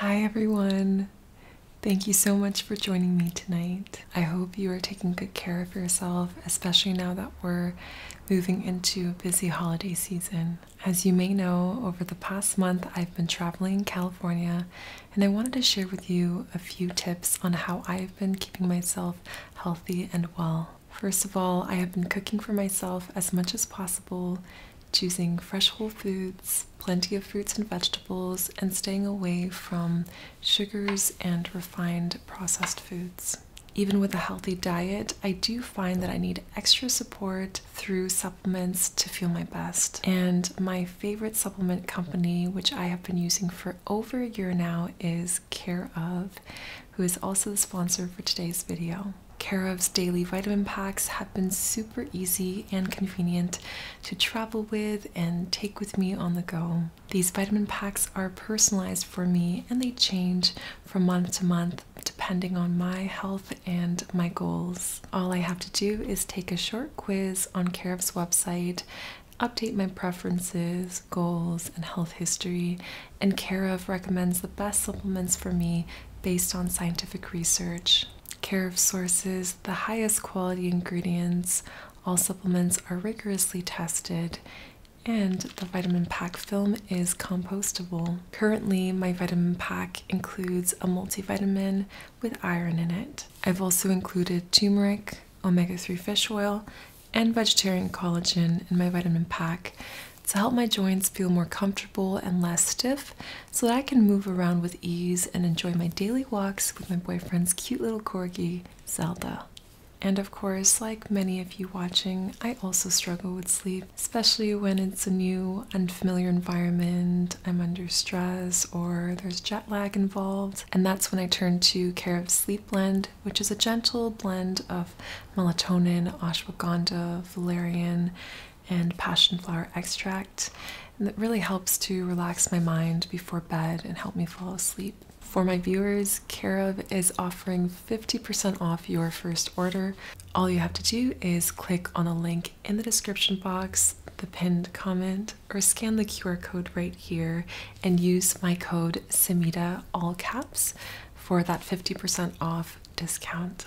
Hi everyone. Thank you so much for joining me tonight. I hope you are taking good care of yourself, especially now that we're moving into a busy holiday season. As you may know, over the past month I've been traveling in California and I wanted to share with you a few tips on how I've been keeping myself healthy and well. First of all, I have been cooking for myself as much as possible choosing fresh whole foods, plenty of fruits and vegetables, and staying away from sugars and refined processed foods. Even with a healthy diet, I do find that I need extra support through supplements to feel my best. And my favorite supplement company, which I have been using for over a year now, is Care of, who is also the sponsor for today's video. Care of's daily vitamin packs have been super easy and convenient to travel with and take with me on the go. These vitamin packs are personalized for me and they change from month to month depending on my health and my goals. All I have to do is take a short quiz on Carif's website, update my preferences, goals, and health history, and Carif recommends the best supplements for me based on scientific research care of sources, the highest quality ingredients. All supplements are rigorously tested, and the vitamin pack film is compostable. Currently, my vitamin pack includes a multivitamin with iron in it. I've also included turmeric, omega 3 fish oil, and vegetarian collagen in my vitamin pack to help my joints feel more comfortable and less stiff so that I can move around with ease and enjoy my daily walks with my boyfriend's cute little corgi, Zelda. And of course, like many of you watching, I also struggle with sleep, especially when it's a new, unfamiliar environment, I'm under stress, or there's jet lag involved. And that's when I turn to Care of Sleep Blend, which is a gentle blend of melatonin, ashwagandha, valerian, and passionflower extract and that really helps to relax my mind before bed and help me fall asleep. For my viewers, Carev is offering 50% off your first order. All you have to do is click on a link in the description box, the pinned comment, or scan the QR code right here and use my code SEMITA, all caps, for that 50% off discount.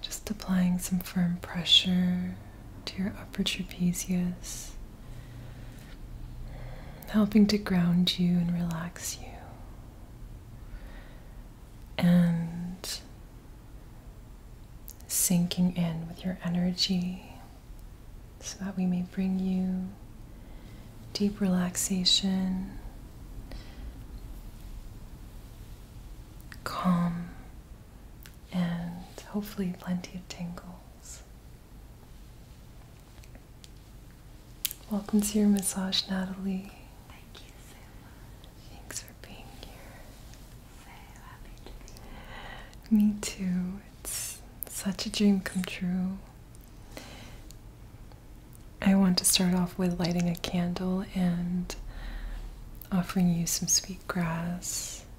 Just applying some firm pressure to your upper trapezius, helping to ground you and relax you. And sinking in with your energy so that we may bring you deep relaxation, calm, and hopefully plenty of tingles. Welcome to your massage, Natalie. Thank you so much. Thanks for being here. So happy to be here. Me too. It's such a dream come true. I want to start off with lighting a candle and offering you some sweet grass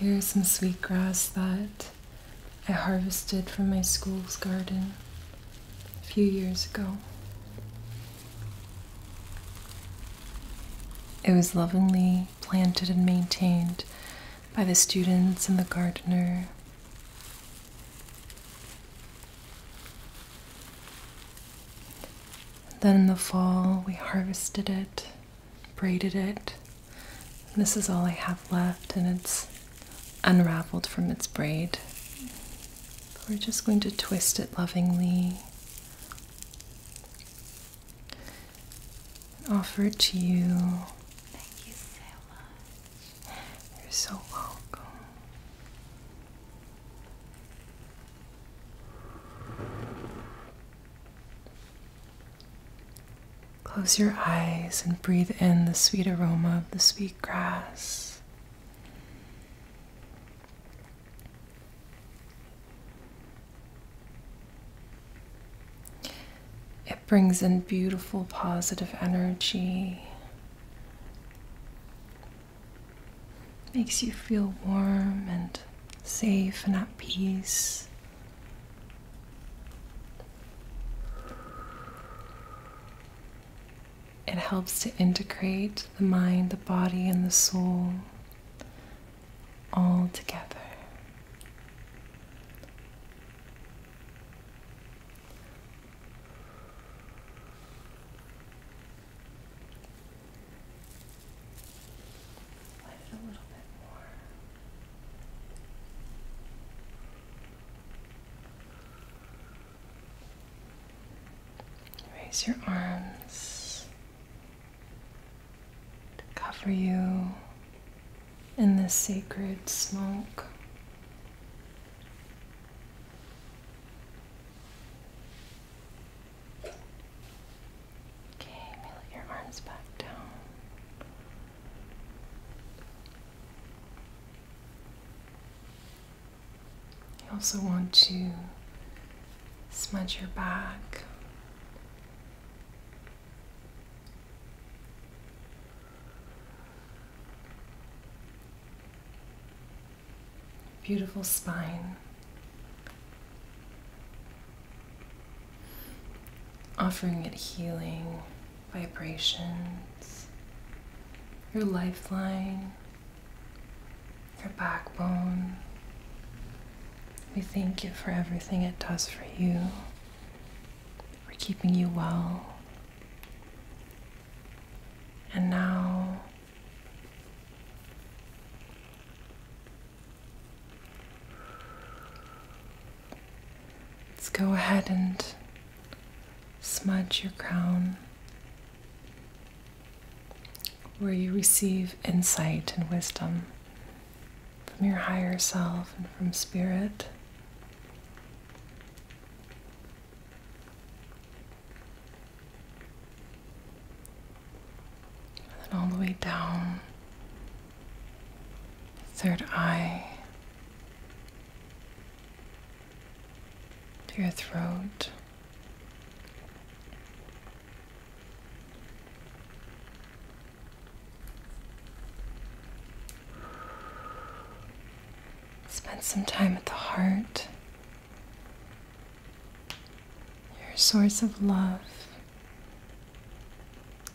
Here's some sweet grass that I harvested from my school's garden a few years ago. It was lovingly planted and maintained by the students and the gardener. Then in the fall, we harvested it, braided it. this is all I have left, and it's unraveled from its braid. We're just going to twist it lovingly and offer it to you. Thank you so much. You're so welcome. Close your eyes and breathe in the sweet aroma of the sweet grass. It brings in beautiful positive energy, makes you feel warm and safe and at peace. It helps to integrate the mind, the body, and the soul all together. Let it a little bit more. Raise your arms to cover you in the sacred smoke. Okay, let your arms back down. You also want to smudge your back. Beautiful spine. Offering it healing vibrations, your lifeline, your backbone. We thank you for everything it does for you, for keeping you well. And now, let's go ahead and smudge your crown where you receive insight and wisdom from your higher self and from spirit. And all the way down, third eye, to your throat. Spend some time at the heart, your source of love,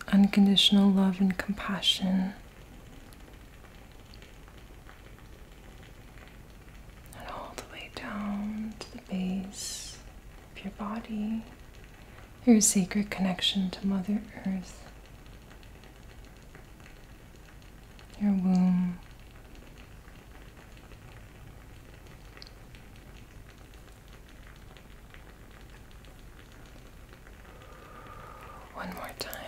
unconditional love and compassion and all the way down to the base of your body, your sacred connection to Mother Earth, your womb. One more time.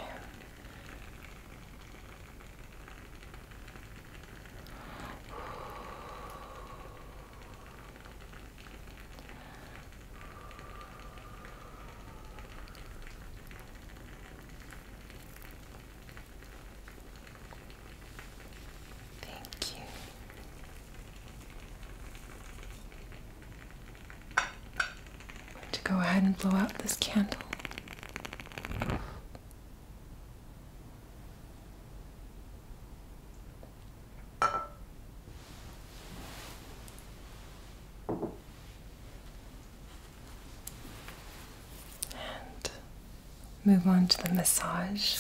Thank you. to go ahead and blow out this candle. And move on to the massage.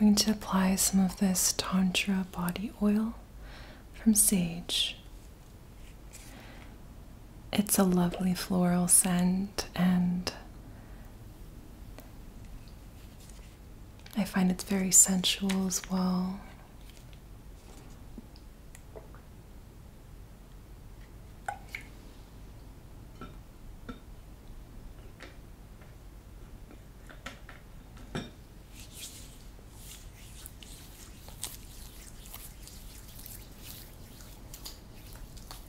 We need to apply some of this Tantra body oil from Sage. It's a lovely floral scent and I find it's very sensual as well.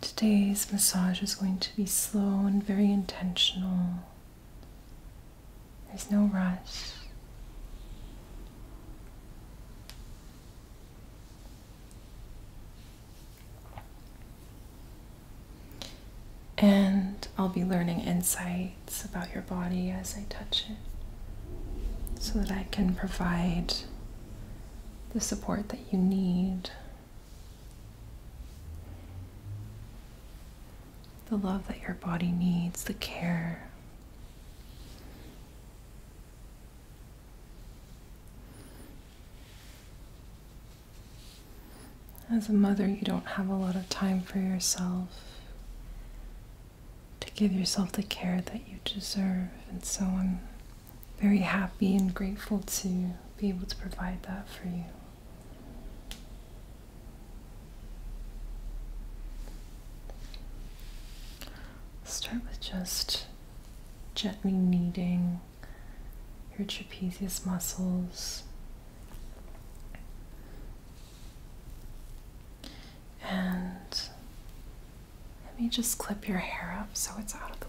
Today's massage is going to be slow and very intentional. There's no rush. And I'll be learning insights about your body as I touch it so that I can provide the support that you need, the love that your body needs, the care. As a mother, you don't have a lot of time for yourself to give yourself the care that you deserve. And so I'm very happy and grateful to be able to provide that for you. Start with just gently kneading your trapezius muscles. And let me just clip your hair up so it's out of the way.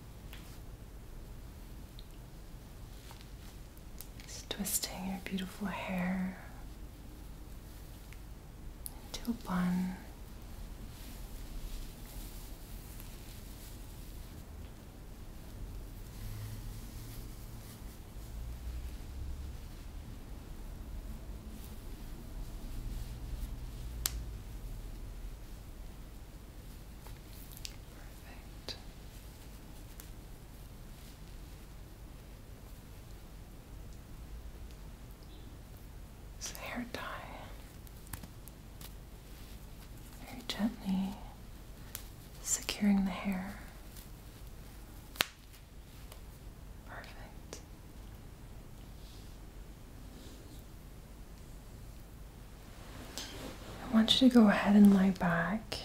Just twisting your beautiful hair into a bun a hair tie. Very gently securing the hair. Perfect. I want you to go ahead and lie back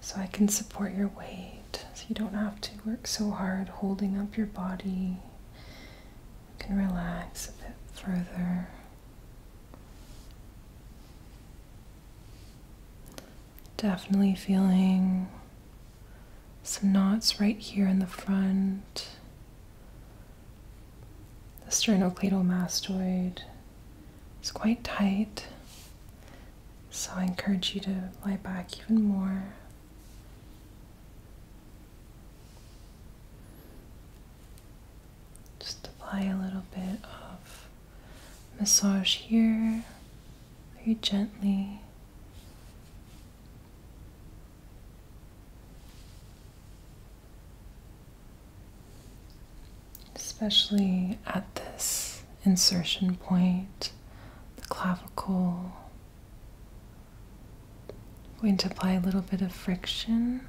so I can support your weight so you don't have to work so hard holding up your body. You can relax a bit further. Definitely feeling some knots right here in the front. The sternocleidomastoid is quite tight, so I encourage you to lie back even more. Just apply a little bit of massage here very gently. Especially at this insertion point, the clavicle. I'm going to apply a little bit of friction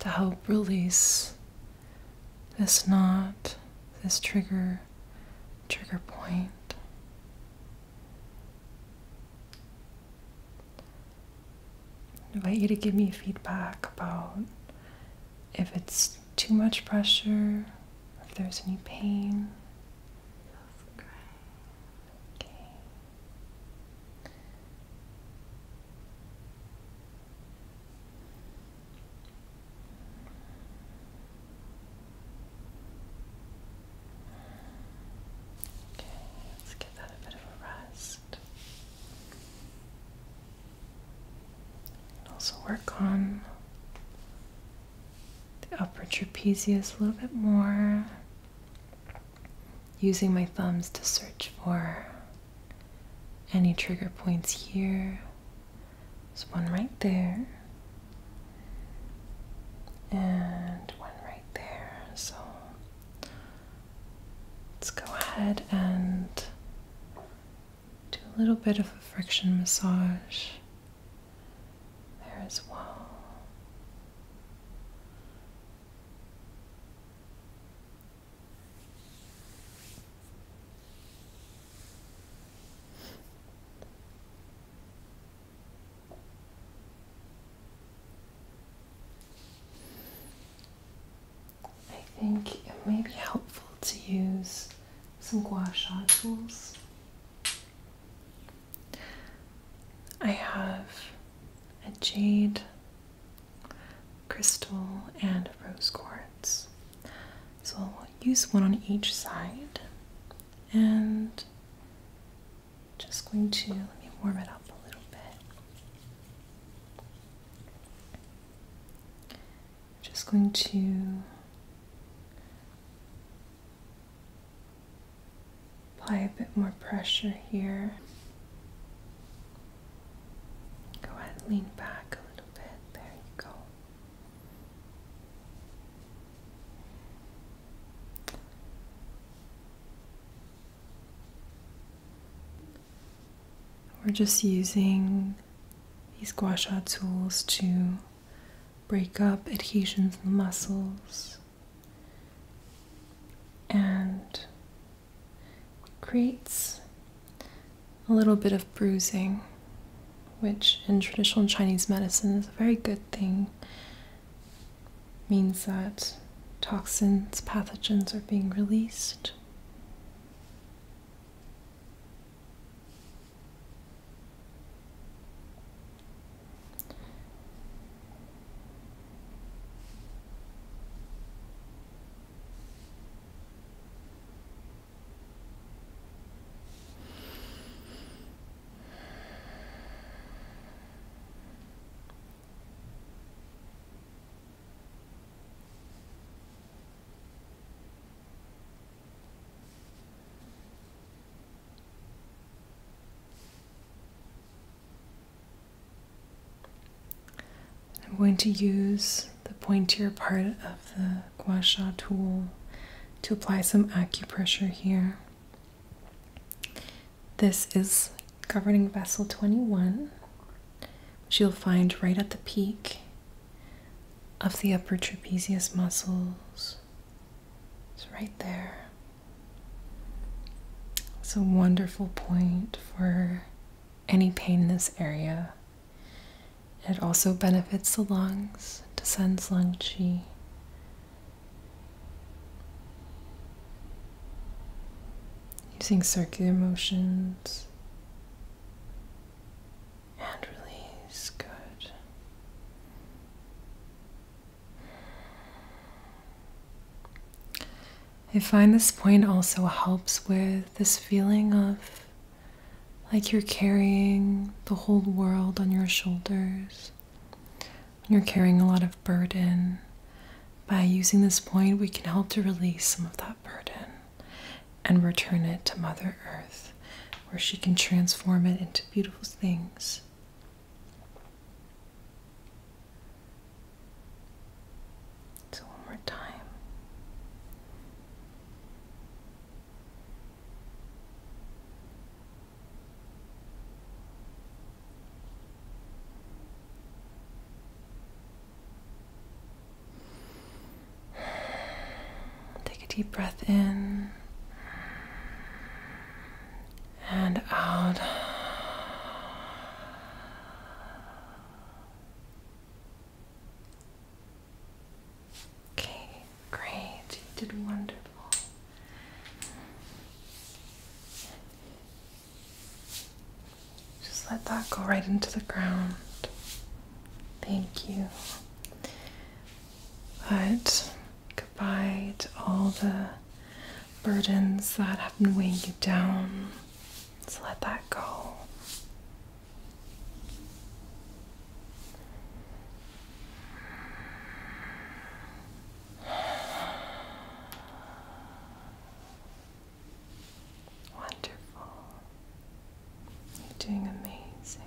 to help release this knot, this trigger, trigger point. I invite you to give me feedback about if it's too much pressure, if there's any pain. Okay, let's give that a bit of a rest. And also work on the upper trapezius a little bit more, using my thumbs to search for any trigger points here. There's one right there and one right there. So let's go ahead and do a little bit of a friction massage there as well. I think it may be helpful to use some gua sha tools. I have a jade crystal and rose quartz. So I'll use one on each side and just going to let me warm it up a little bit. Just going to apply a bit more pressure here. Go ahead lean back a little bit. There you go. We're just using these gua sha tools to break up adhesions in the muscles and creates a little bit of bruising, which in traditional Chinese medicine is a very good thing means that toxins, pathogens are being released. I'm going to use the pointier part of the gua sha tool to apply some acupressure here this is governing vessel 21, which you'll find right at the peak of the upper trapezius muscles. It's right there. It's a wonderful point for any pain in this area. It also benefits the lungs, descends lung qi, Using circular motions and release. Good. I find this point also helps with this feeling of like you're carrying the whole world on your shoulders you're carrying a lot of burden, by using this point, we can help to release some of that burden and return it to Mother Earth, where she can transform it into beautiful things. So, one more time. Take a deep breath in and out. Okay, great. You did wonderful. Just let that go right into the ground. Thank you. But goodbye to all the burdens that have been weighing you down. Just let that go. Wonderful. You're doing amazing.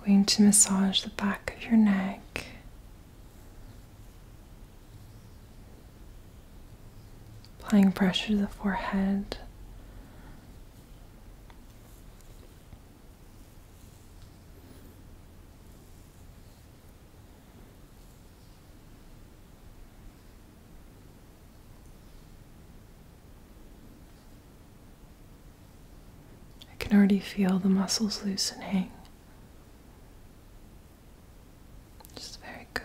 I'm going to massage the back of your neck Applying pressure to the forehead. I can already feel the muscles loosening. Just very good.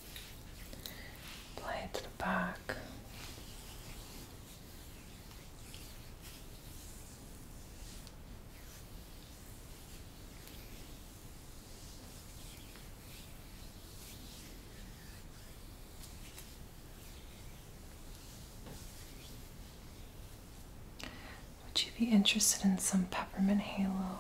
Play it to the back. Would you be interested in some peppermint halo?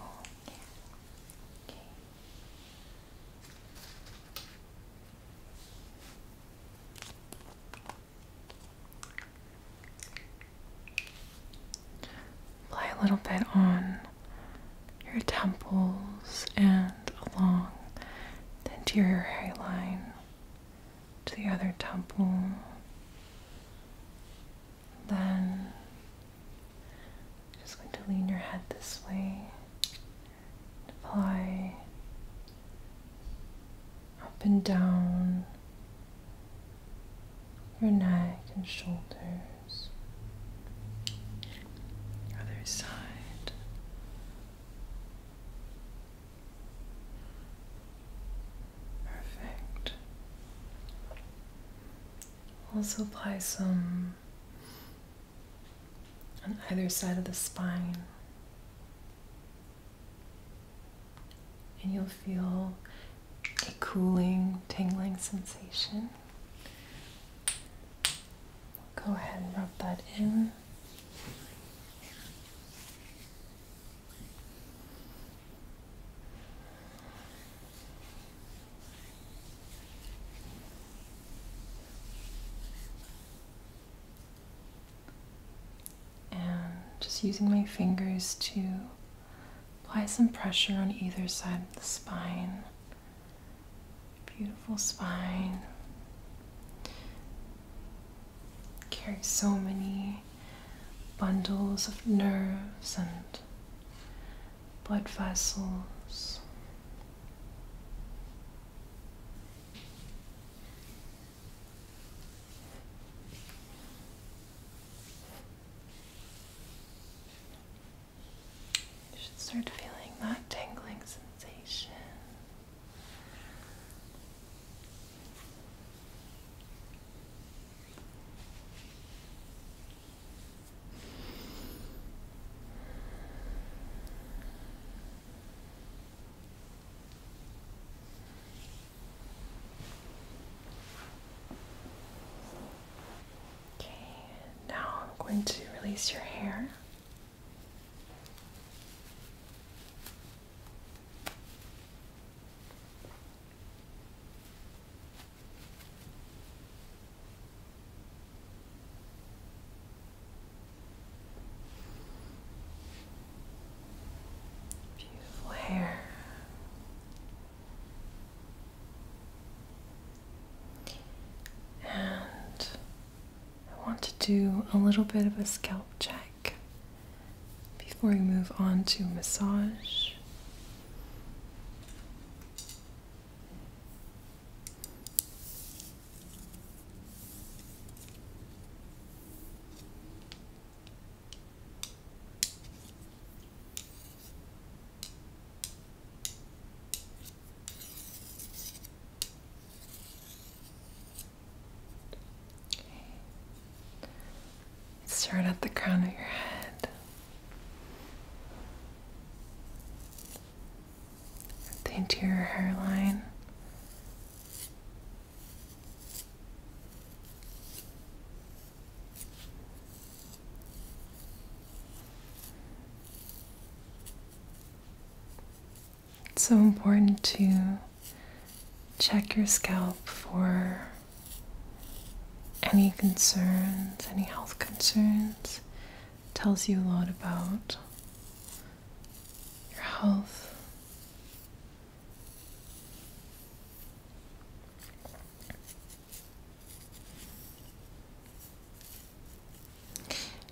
Apply a little bit on your temples and along the interior hairline to the other temple. Then just going to lean your head this way Apply up and down your neck and shoulders. Other side. Perfect. Also apply some on either side of the spine. And you'll feel a cooling, tingling sensation. Go ahead and rub that in. And just using my fingers to apply some pressure on either side of the spine. Beautiful spine. Carries so many bundles of nerves and blood vessels. You should start feeling that tingling sensation. Okay, now I'm going to release your hair. Beautiful hair. And I want to do a little bit of a scalp check before we move on to massage. Start at the crown of your head the interior hairline. It's so important to check your scalp for any concerns, any health concerns tells you a lot about your health.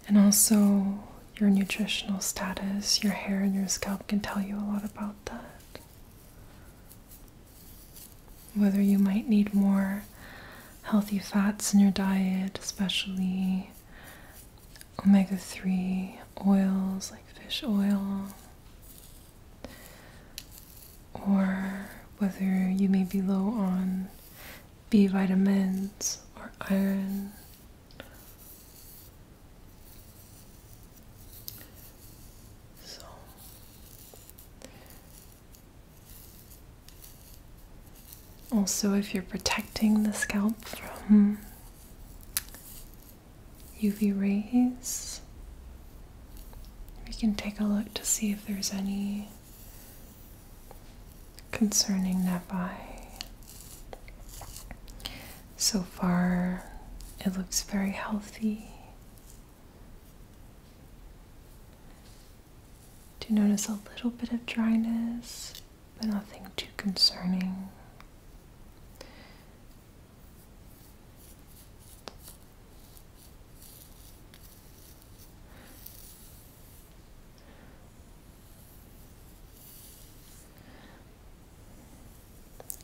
And also, your nutritional status, your hair, and your scalp can tell you a lot about that. Whether you might need more healthy fats in your diet, especially omega 3 oils like fish oil, or whether you may be low on B vitamins or iron. So, also, if you're protecting the scalp from UV rays, we can take a look to see if there's any concerning nevi. So far, it looks very healthy. Do notice a little bit of dryness, but nothing too concerning.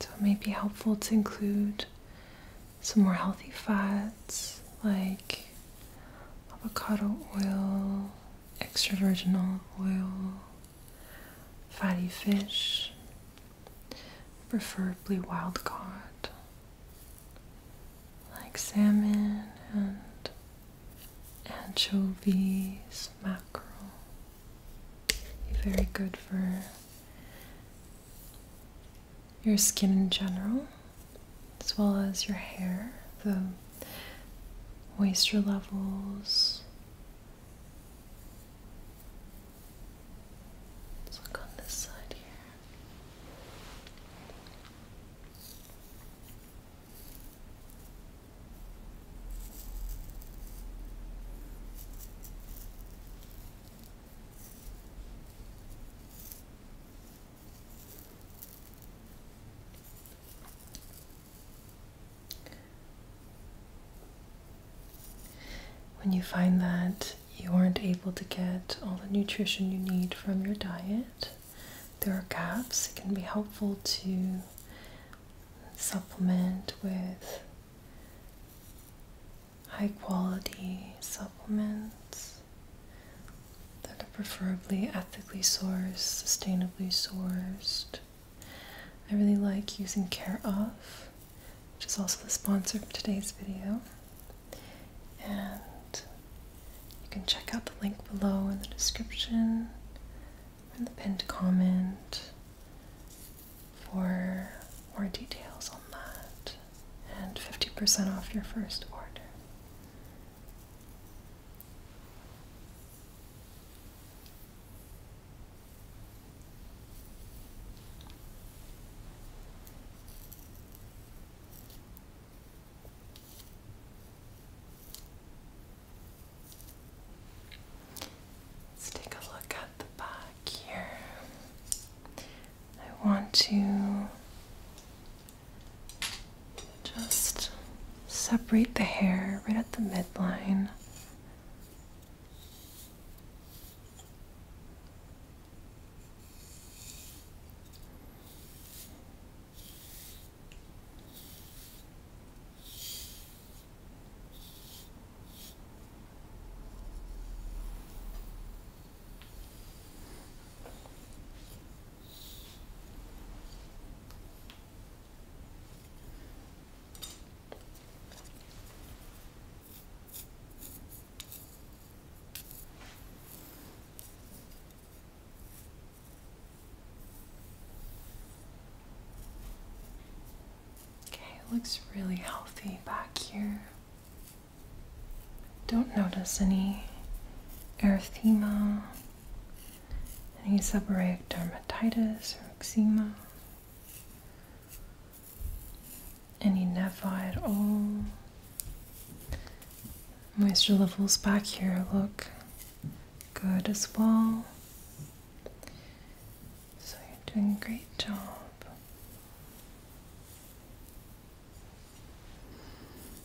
So it may be helpful to include some more healthy fats like avocado oil, extra virgin olive oil, fatty fish, preferably wild caught, like salmon and anchovies, mackerel. very good for your skin in general as well as your hair, the moisture levels. Let's look on this side here. When you find that you aren't able to get all the nutrition you need from your diet, there are gaps. It can be helpful to supplement with high quality supplements that are preferably ethically sourced, sustainably sourced. I really like using Care Off, which is also the sponsor of today's video. And you can check out the link below in the description or in the pinned comment for more details on that and 50% off your first order. Let's take a look at the back here. I want to just separate the hair right at the midline. Okay, it looks really healthy back here. Don't notice any erythema, any seborrheic dermatitis or eczema, any nevi at all. Moisture levels back here look good as well. So you're doing a great job.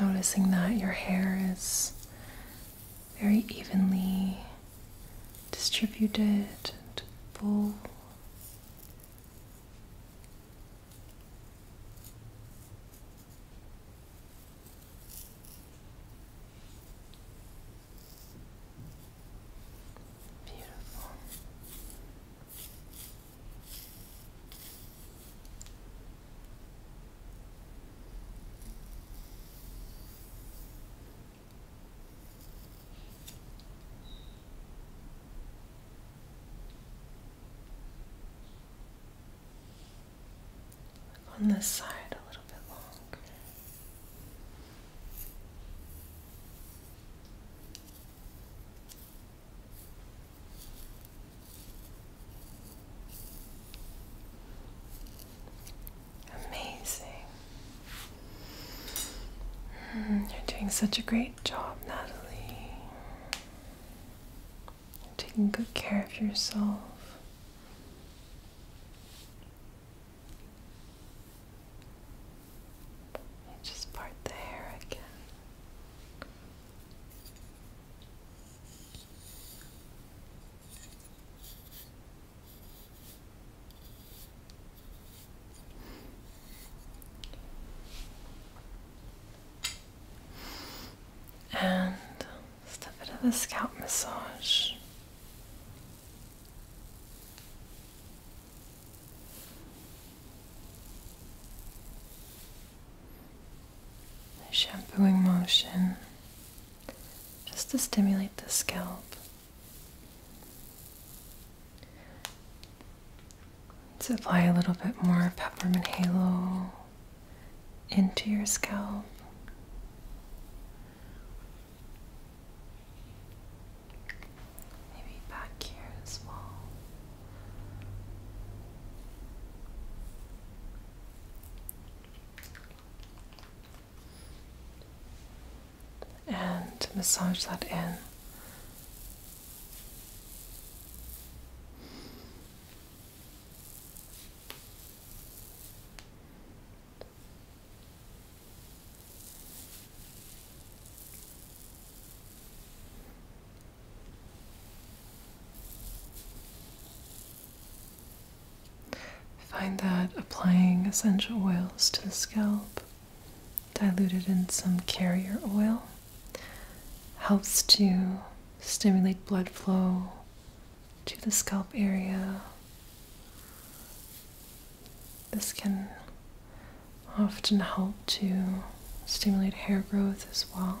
I'm noticing that your hair is very evenly distributed and Beautiful on this side a little bit long. Amazing. Hmm, you're doing such a great job, Natalie. taking good care of yourself. And just part the hair again. And just a bit of a scalp massage. A shampooing motion just to stimulate the scalp. let apply a little bit more peppermint halo into your scalp. Maybe back here as well and massage that in. I find that applying essential oils to the scalp, diluted in some carrier oil, helps to stimulate blood flow to the scalp area. This can often help to stimulate hair growth as well.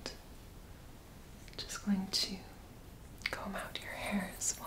And just going to comb out your hair as well.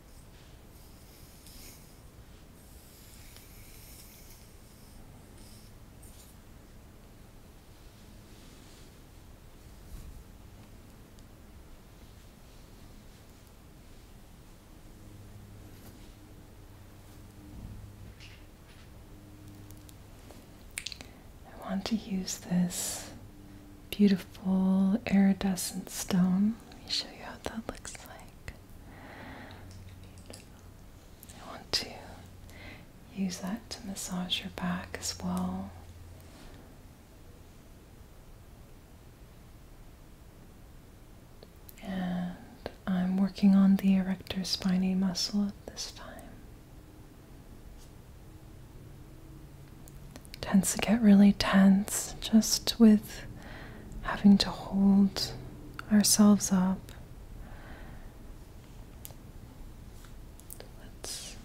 I want to use this beautiful iridescent stone. Let me show you how that looks like. I want to use that to massage your back as well. And I'm working on the erector spiny muscle at this time. Tends to get really tense just with having to hold ourselves up. Let's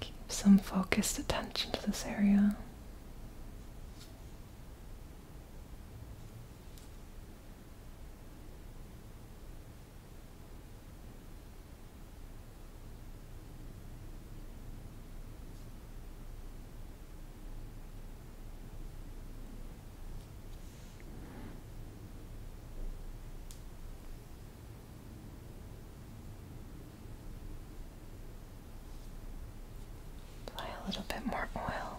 keep some focused attention to this area. Apply a little bit more oil.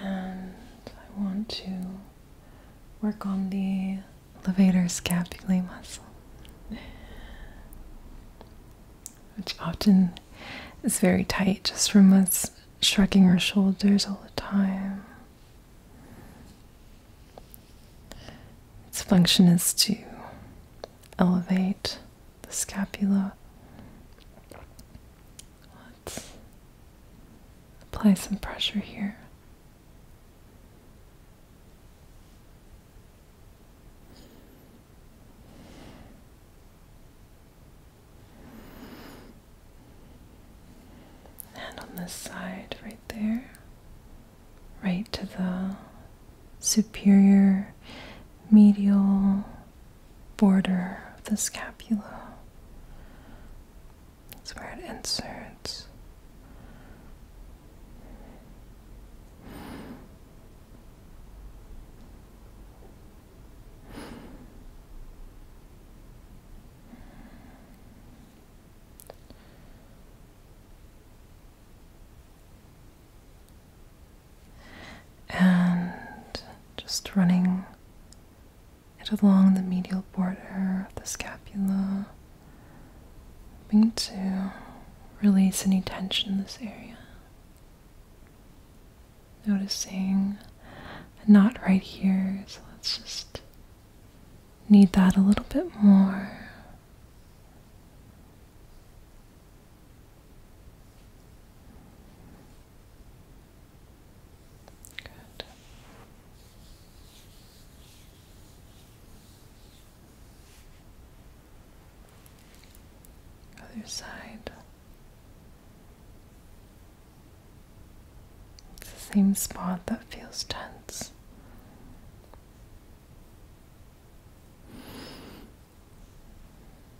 And I want to work on the levator scapulae muscle, which often is very tight just from us shrugging our shoulders all the time. Its function is to elevate the scapula. Let's apply some pressure here. And on this side, right there, right to the superior medial border of the scapula. That's where it inserts and just running it along the medial border of the scapula, hoping to release any tension in this area. Noticing not right here, so let's just need that a little bit more. Other side. the same spot that feels tense.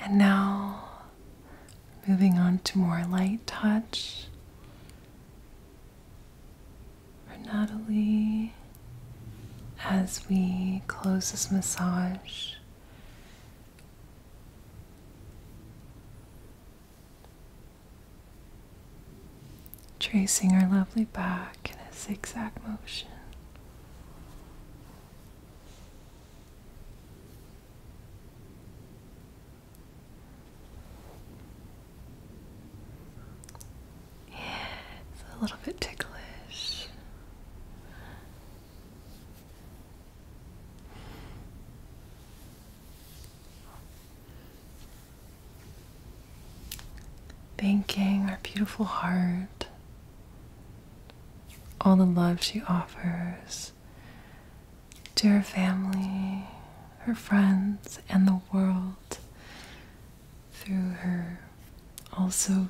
And now moving on to more light touch for Natalie as we close this massage. Tracing our lovely back in a zigzag motion. Yeah, it's a little bit ticklish. Thanking our beautiful heart, all the love she offers to her family, her friends, and the world through her also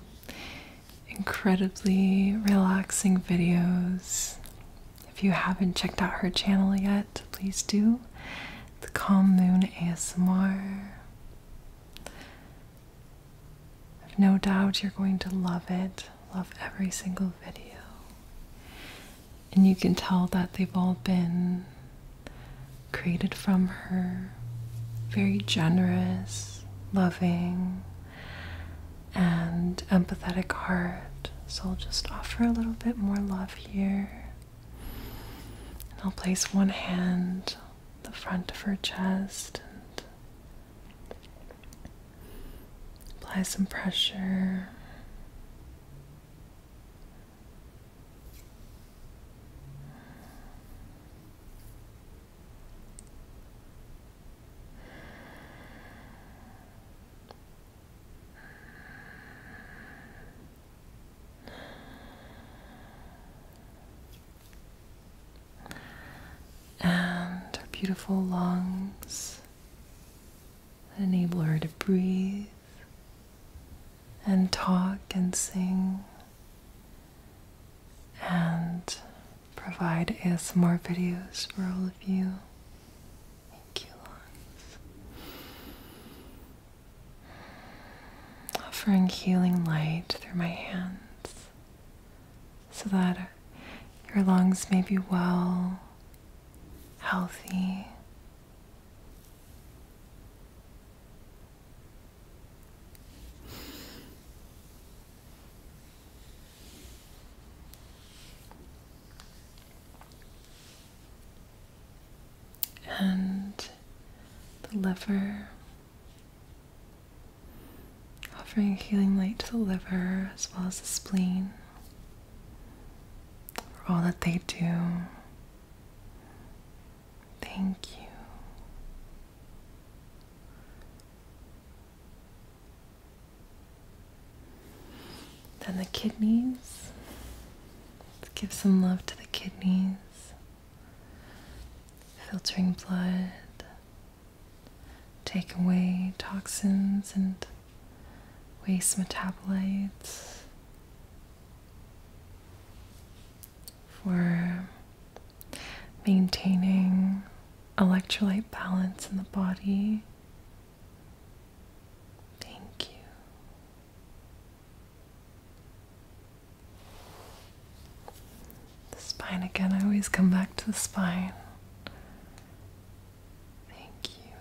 incredibly relaxing videos. If you haven't checked out her channel yet, please do. The Calm Moon ASMR. I have no doubt you're going to love it, love every single video. And you can tell that they've all been created from her. Very generous, loving, and empathetic heart. So I'll just offer a little bit more love here. And I'll place one hand the front of her chest Apply some pressure and her beautiful lungs enable her to breathe and talk and sing and provide us more videos for all of you. Thank you, Lawrence. Offering healing light through my hands so that your lungs may be well, healthy. And the liver offering healing light to the liver as well as the spleen for all that they do. Thank you. Then the kidneys. Let's give some love to the kidneys. Filtering blood, take away toxins and waste metabolites for maintaining electrolyte balance in the body. Thank you. The spine again, I always come back to the spine. Thank you.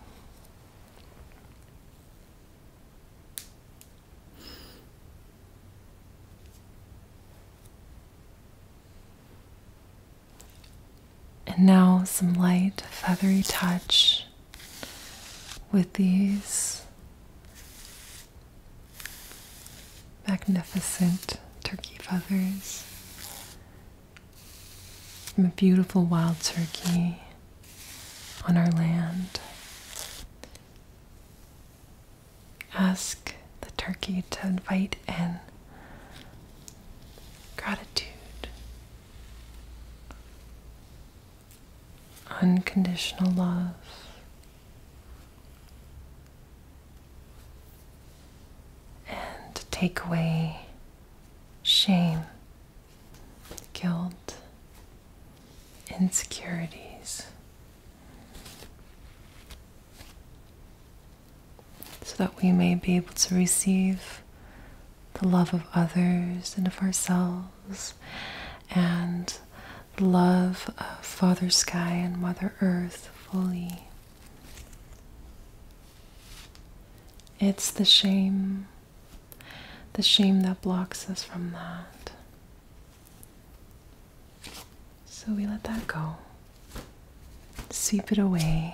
And now some light, feathery touch with these magnificent turkey feathers from a beautiful wild turkey on our land. Ask the turkey to invite in gratitude, unconditional love, and take away shame, guilt, insecurities. So that we may be able to receive the love of others and of ourselves, and the love of Father Sky and Mother Earth fully. It's the shame, the shame that blocks us from that. So we let that go, sweep it away.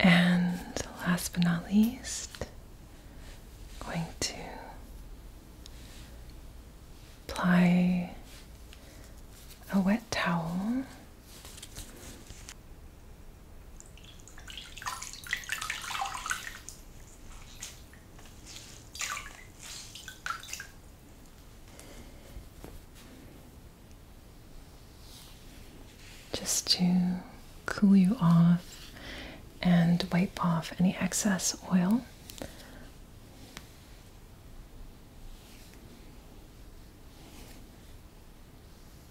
And last but not least, I'm going to apply a wet towel just to cool you off and wipe off any excess oil.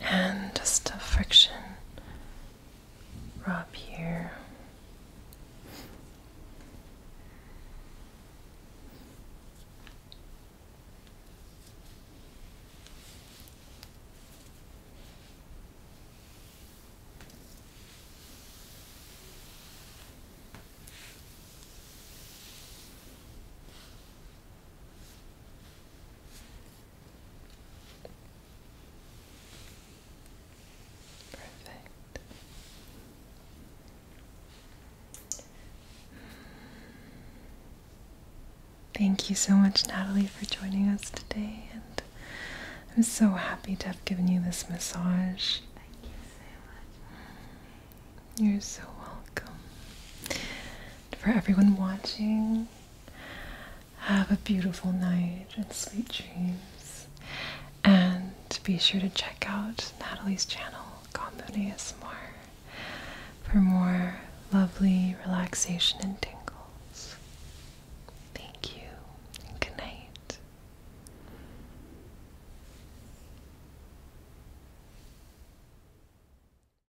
and just a friction rub here. Perfect. Thank you so much, Natalie, for joining us today. And I'm so happy to have given you this massage. Thank you so much. You're so welcome. For everyone watching, have a beautiful night and sweet dreams. And be sure to check out Natalie's channel, Combonius More, for more lovely relaxation and tingles. Thank you good night.